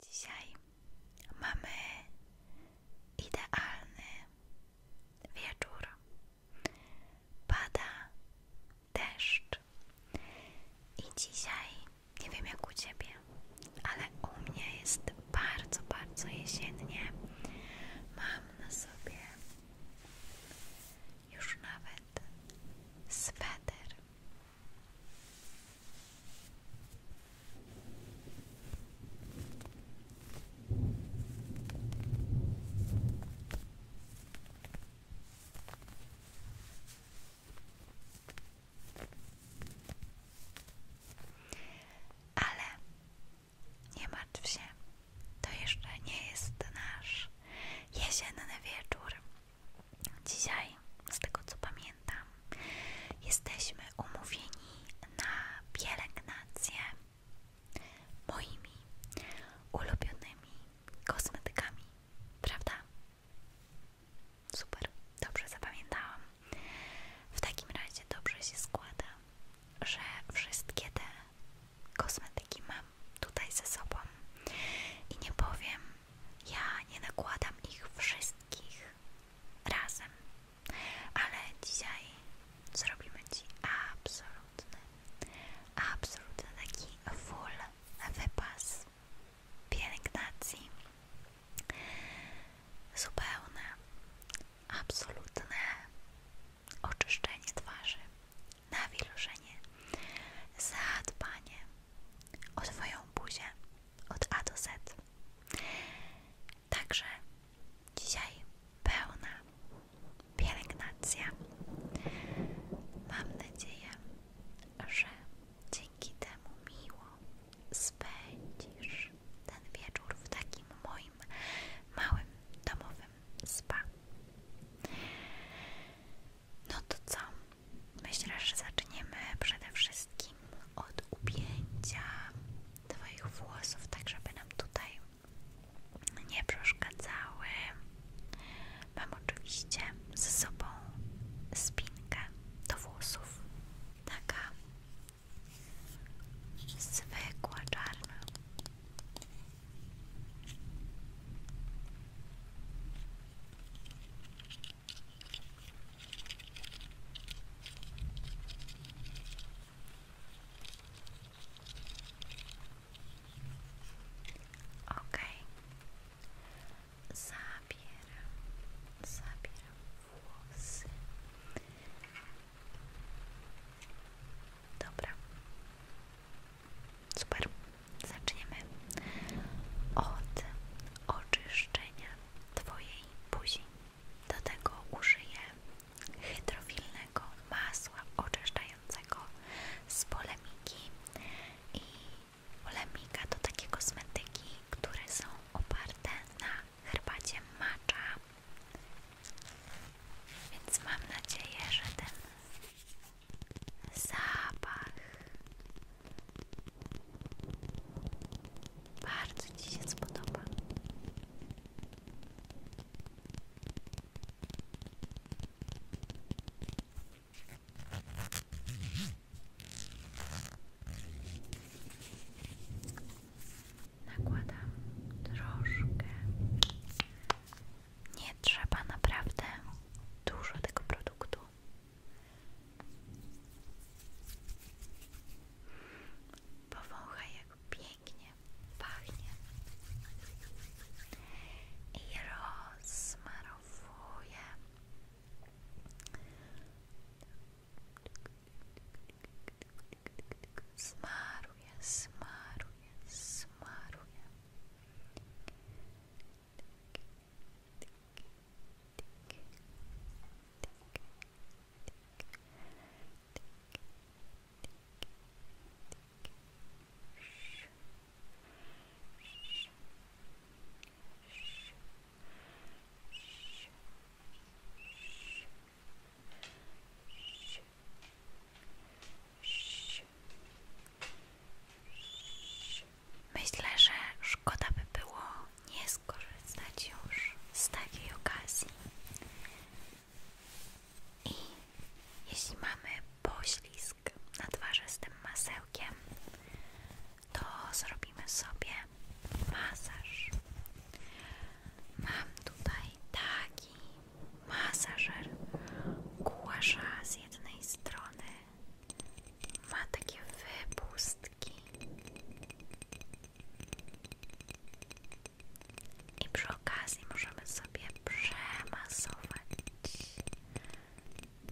Dzisiaj mamy idealny wieczór. Pada deszcz. I dzisiaj, nie wiem jak u ciebie, ale u mnie jest bardzo, bardzo jesiennie. Mam na sobie już nawet sweter. Ale nie martw się, to jeszcze nie jest nasz jesienny wieczór. Dzisiaj, z tego co pamiętam, jesteśmy umówieni na pielęgnację moimi ulubionymi kosmetykami, prawda? Super, dobrze zapamiętałam. W takim razie dobrze się składa, że wszystkie te kosmetyki mam tutaj ze sobą i nie powiem, ja nie nakładam ich wszystkich razem. Ale dzisiaj zrobimy Ci absolutny, absolutny taki full wypas pielęgnacji. Zupełne, absolutne oczyszczenie twarzy, nawilżenie, zadbanie o Twoją buzię, od A do Z. Także dzisiaj pełna pielęgnacja. Mam nadzieję, że dzięki temu miło spędzisz ten wieczór w takim moim małym domowym spa. No to co? Myślę, że zaczniemy przede wszystkim od upięcia Twoich włosów, tak żeby nam tutaj nie przeszkadzały. Mam oczywiście ze sobą spinkę do włosów, taka zwykła, czarna. Okej, zabieram, zabieram włosy. Dobra, super. Zaczniemy od oczyszczenia Twojej buzi. Do tego użyję hydrofilnego masła oczyszczającego z polemiki i polemika to takie kosmetyki, które są oparte na herbacie macza, więc mam nadzieję, że ten zapach bardzo Ci się spodoba. Nakładam Nie trzeba naprawdę dużo tego produktu. Powąchaj jak pięknie pachnie i rozsmarowuje Smaruje, smaruje, smaruje Tyk, tyk, tyk, tyk, Myślę, że szkoda by było nie skorzystać już z takiej okazji. I jeśli mamy poślizg na twarzy z tym masełkiem, to zrobimy sobie masaż. Mam tutaj taki masażer głasza z jednej strony ma takie wypustki i przy okazji możemy sobie przemasować,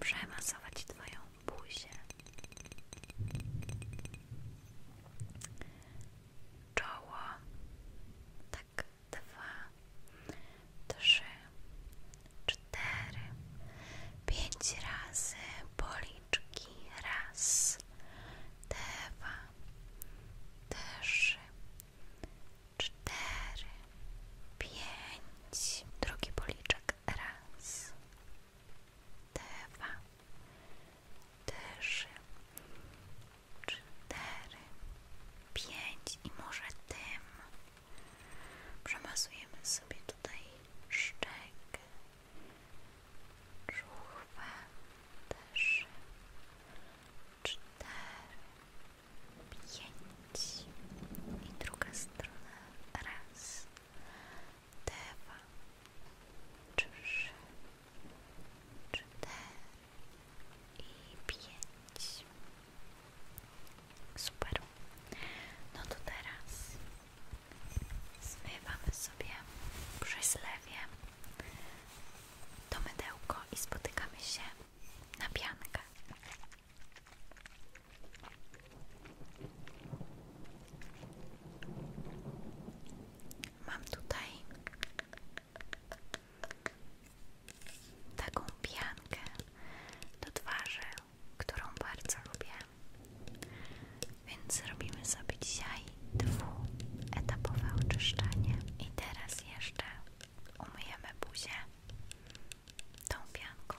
przemasować Twoją buzię. Czoło, tak, dwa, trzy, cztery, pięć razy policzki, raz, dwa, trzy, cztery, pięć. Drugi policzek raz, dwa, trzy, cztery, pięć i może tym przemasujemy sobie tutaj szczękę żuchwę, trzy, cztery, pięć i druga strona, raz, dwa, trzy, cztery i pięć. Super. No to teraz Zmywamy sobie przez lewie to mydełko i spotykamy się na piankę. Mam tutaj taką piankę do twarzy, którą bardzo lubię. Więc robimy sobie dzisiaj dwuetapowe oczyszczanie. I teraz jeszcze umyjemy buzię tą pianką.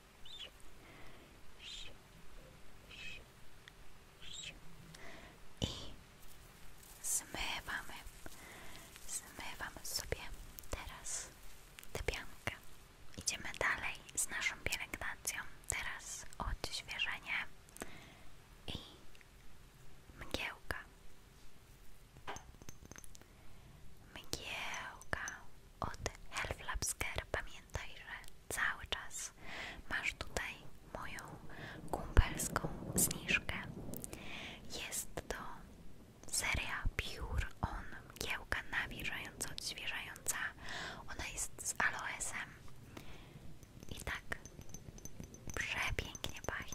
i zmywamy, zmywamy sobie teraz tę piankę. Idziemy dalej z naszą pielęgnacją, teraz odświeżenie i mgiełka. Mgiełka, od Health Labs Pamiętaj, że cały czas masz tutaj moją kumpelską zniżkę. Jest to seria Pure On, mgiełka nawilżająca, odświeżająca. Ona jest z aloesem i tak przepięknie pachnie.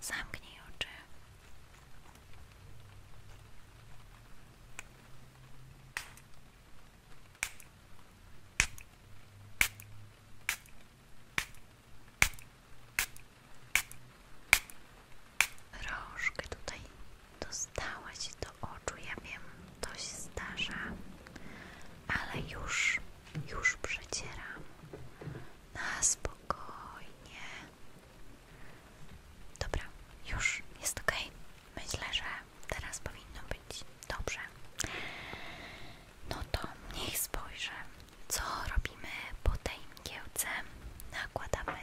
zamknij oczy. Rążkę tutaj dostała do oczu, ja wiem, to się zdarza, ale już, już przecieram na spokojnie, Dobra, już jest ok. Myślę, że teraz powinno być dobrze. No to niech spojrzę, co robimy po tej mgiełce. Nakładamy,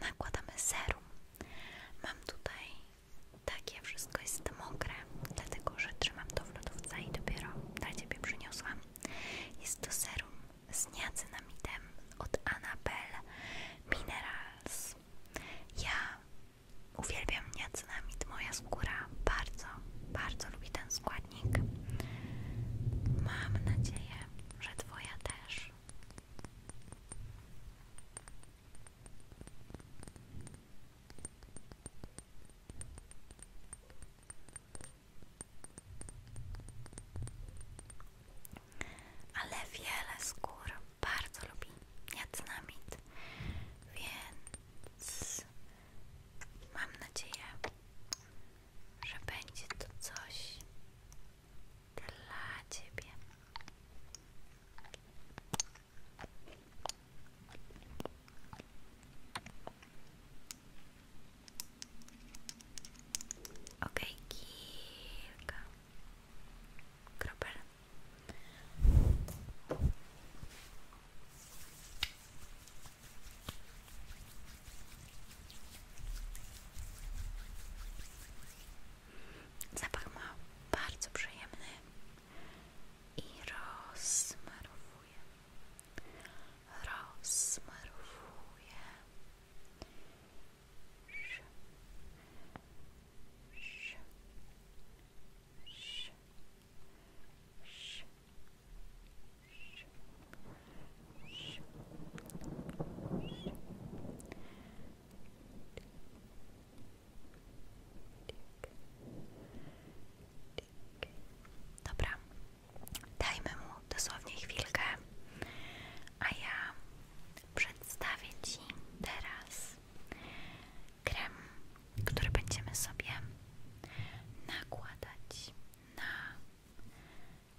nakładamy serum. Mam tutaj takie, wszystko jest mokre, dlatego że trzymam to w lodówce i dopiero dla Ciebie przyniosłam. Jest to serum z niacinamidem od Annabelle Minerals. Ja uwielbiam niacinamid, moja skóra bardzo, bardzo lubi ten składnik. Mam nadzieję, że Twoja też. Ale wiele skór bardzo lubi niacynamid, więc mam nadzieję, że będzie to coś dla Ciebie. Ok, kilka kropel. Zapach ma bardzo przyjemny i rozmarowuje rozsmarowuje sz, sz, sz, sz, sz, sz, sz. Tik, tik, Dobra, dajmy mu dosłownie chwilkę, a ja przedstawię Ci teraz krem, który będziemy sobie nakładać na...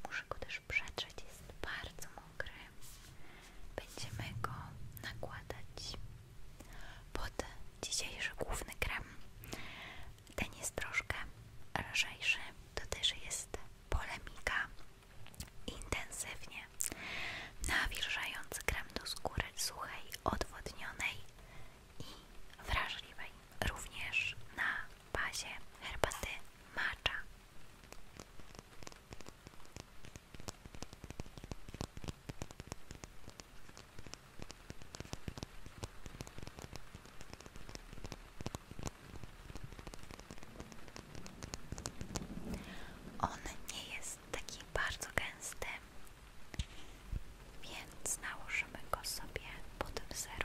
Muszę go też przetrzeć, jest bardzo mokry. Będziemy go nakładać pod dzisiejszy główny krem ten jest troszkę lżejszy, to też jest polemika intensywnie nawilżający krem do skóry suchej, odwodnionej i wrażliwej, również na bazie herbaty matcha. On nie jest taki bardzo gęsty, więc nałożymy go sobie pod wzorem.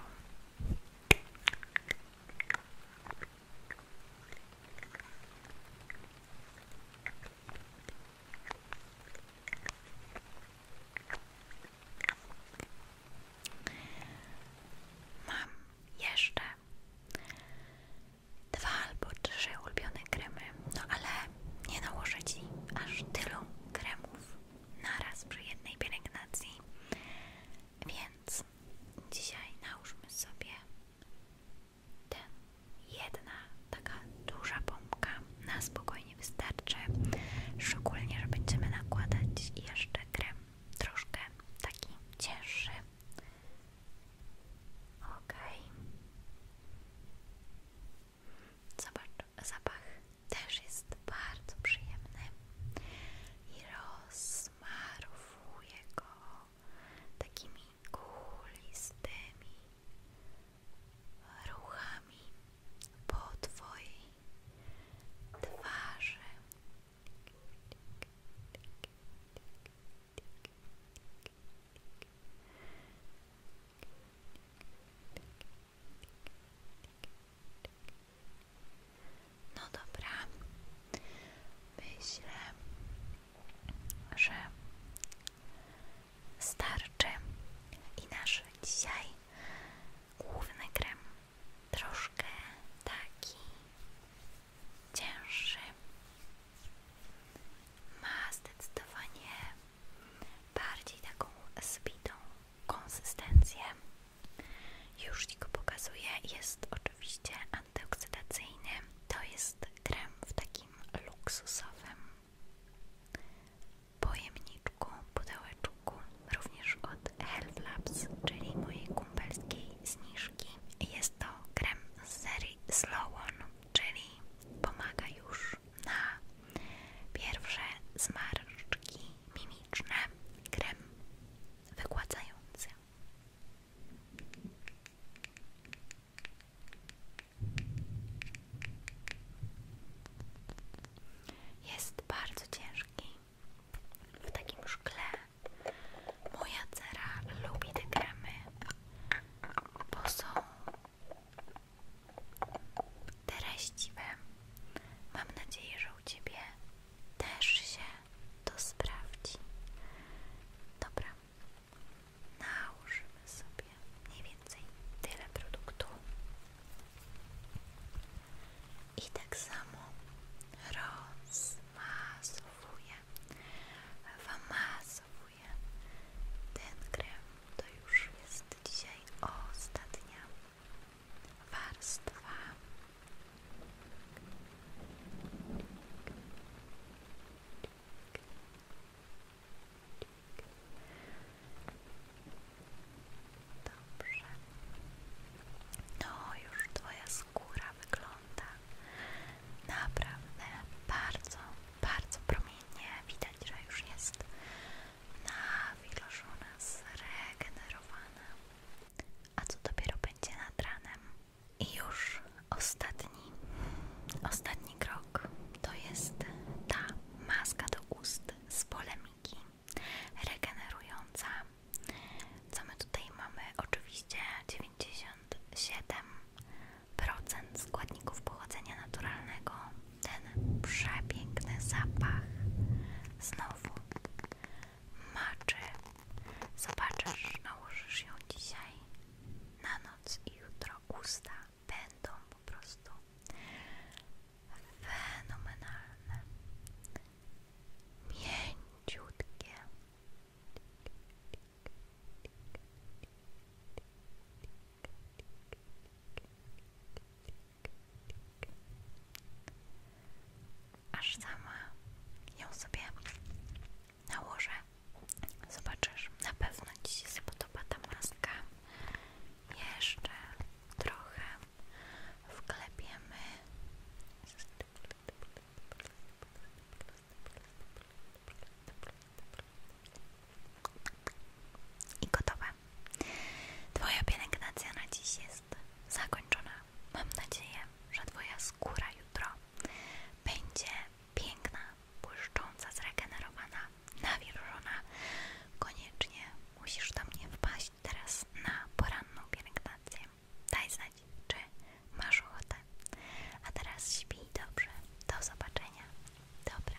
Mam jeszcze dwa albo trzy ulubione kremy, no ale nie nałożę Ci aż tylu kremów na raz przy jednej pielęgnacji, więc dzisiaj nałóżmy sobie ten jedna taka duża pompka na spokojnie nie wystarczy, szczególnie, że będziemy nakładać jeszcze krem troszkę taki cięższy. Ok. Zobacz, zapach też jest bardzo przyjemny i rozmarowuje go takimi kulistymi ruchami po Twojej twarzy. No dobra, myślę, że starczy i nasz dzisiaj główny krem troszkę taki cięższy. Ma zdecydowanie bardziej taką zbitą konsystencję. Już tylko go pokazuję. Jest oczywiście antyoksydacyjny. To jest krem w takim luksusowym pojemniczku, pudełeczku również od Health czyli mojej kumpelskiej zniżki. Jest to krem z serii Slow czyli pomaga już na pierwsze zmarszczki mimiczne. Krem wykładający. Jest bardzo ciężki, w takim szkle. Moja cera lubi te kremy, bo są treściwe. Mam nadzieję, że u Ciebie też się to sprawdzi. Dobra, nałożymy sobie mniej więcej tyle produktu i tak samo rozmasowuje, wymasowuję ten krem. To już jest dzisiaj ostatnia warstwa. Dobrze. No, już Twoja skóra wygląda naprawdę bardzo, bardzo promiennie. Widać, że już jest nawilżona, zregenerowana. A co dopiero będzie nad ranem? I już ostatni, ostatni krok to jest ta maska do ust z polemiki regenerująca. Co my tutaj mamy? Oczywiście 97% składników pochodzenia naturalnego. Ten przepiękny zapach. Znowu maczy. Zobaczysz, nałożysz ją dzisiaj na noc i jutro gusta będą po prostu fenomenalne, mięciutkie. Aż sama ją sobie nałożę. Zobaczysz, na pewno Ci się spodoba ta Jeszcze trochę wklepiemy i gotowe. Twoja pielęgnacja na dziś jest zakończona. Mam nadzieję, że Twoja skóra jutro będzie piękna, błyszcząca, zregenerowana, nawilżona. Koniecznie musisz do mnie wpaść teraz na poranną pielęgnację. Daj znać, czy masz ochotę. A teraz śpij dobrze. Do zobaczenia. Dobra.